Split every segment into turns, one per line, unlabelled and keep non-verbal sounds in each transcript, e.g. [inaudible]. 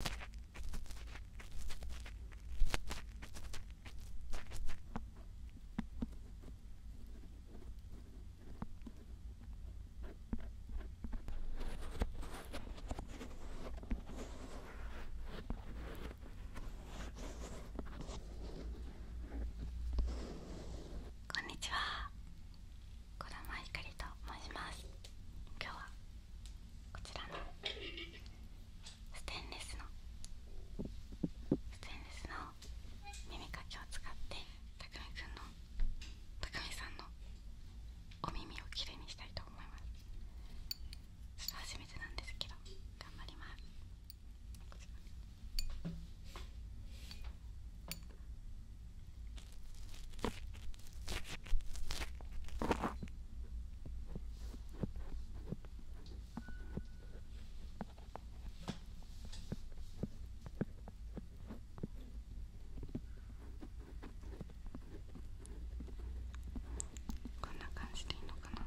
こんにちは、児玉ひと申します。今日はこちらのステンレスのステンレスの耳かきを使ってたくみくんのたくみさんのお耳をきれいにしたいと思いますちょっと初めてなんですけど頑張りますこちらこんな感じでいいのかな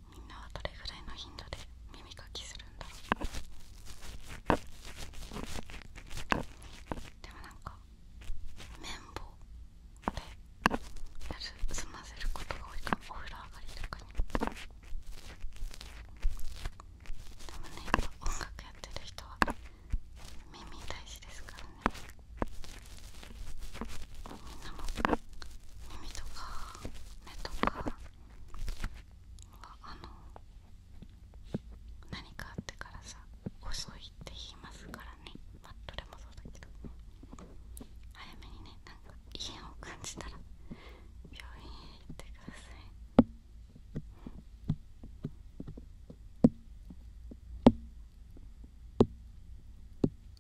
みんなはどれぐらいの頻度で耳かきするんだでもなんか綿棒でやる済ませることが多いかもお風呂上がりとかにでもねや音楽やってる人は耳大事ですからねみんなも耳とか目とかああの何かあってからさ遅いって言いますからねまあどれもそうだけど早めにねなんか異変を感じたら病院へ行ってください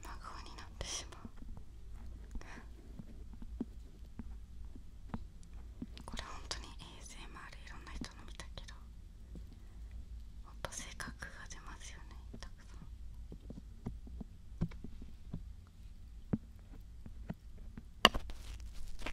真顔になってしまうこれ本当に ASMR いろんな人の見たけどほんと性格が出ますよねたくさん。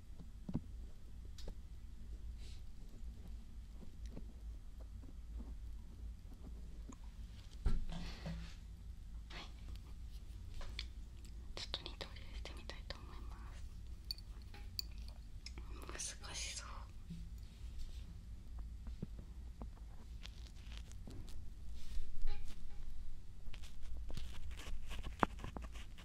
はい、ちょっと二刀流してみたいと思います難しそうはい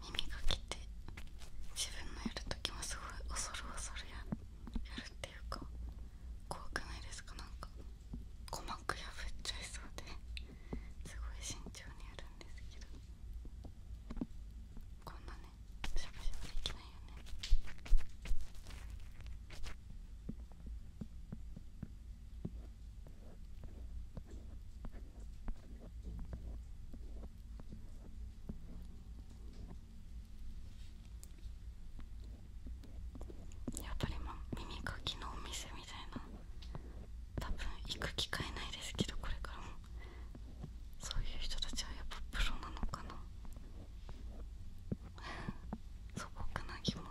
耳が来て自分のやるときもすごい恐る恐るややるっていうか怖くないですかなんか鼓膜破っちゃいそうで。すごい慎重にやるんですけどこんなねしゃぶしゃぶできないよねやっぱりまあ耳かきのお店みたいな多分行く機会ないですけどこれからもそういう人たちはやっぱプロなのかな [laughs] 素朴な疑問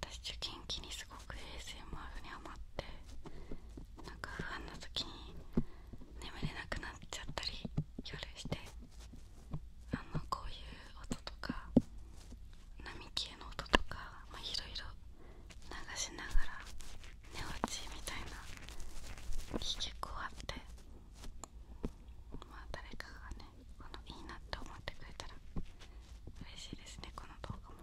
私受験期にすごく衛 ASMR に余ってなんか不安な時に眠れなくなっちゃったり夜してあのこういう音とか波消えの音とかまあいろいろ流しながら寝落ちみたいな結構あってまあ誰かがねこのいいなって思ってくれたら嬉しいですねこの動画も。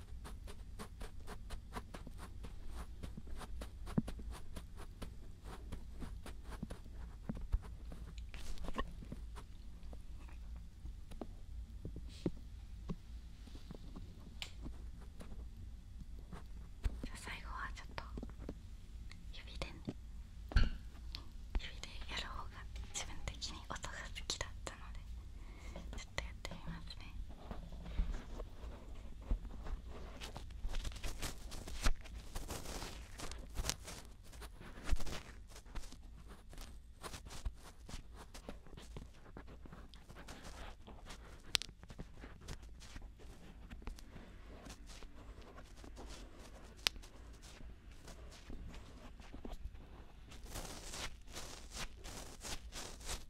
最後はちょっと指で、ね、指でやる方が自分的に音が好きだったのでちょっっとやっ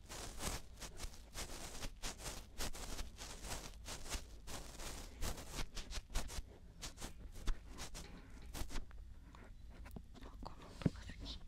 この音が好きこ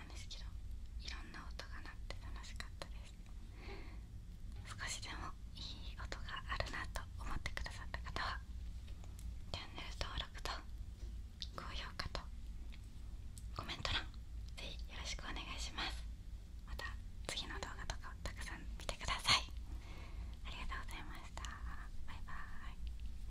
っんですけどいろんな音が鳴って楽しかったです少しでもいい音があるなと思ってくださった方はチャンネル登録と高評価とコメント欄ぜひよろしくお願いしますまた次の動画とかをたくさん見てくださいありがとうございましたバイバーイ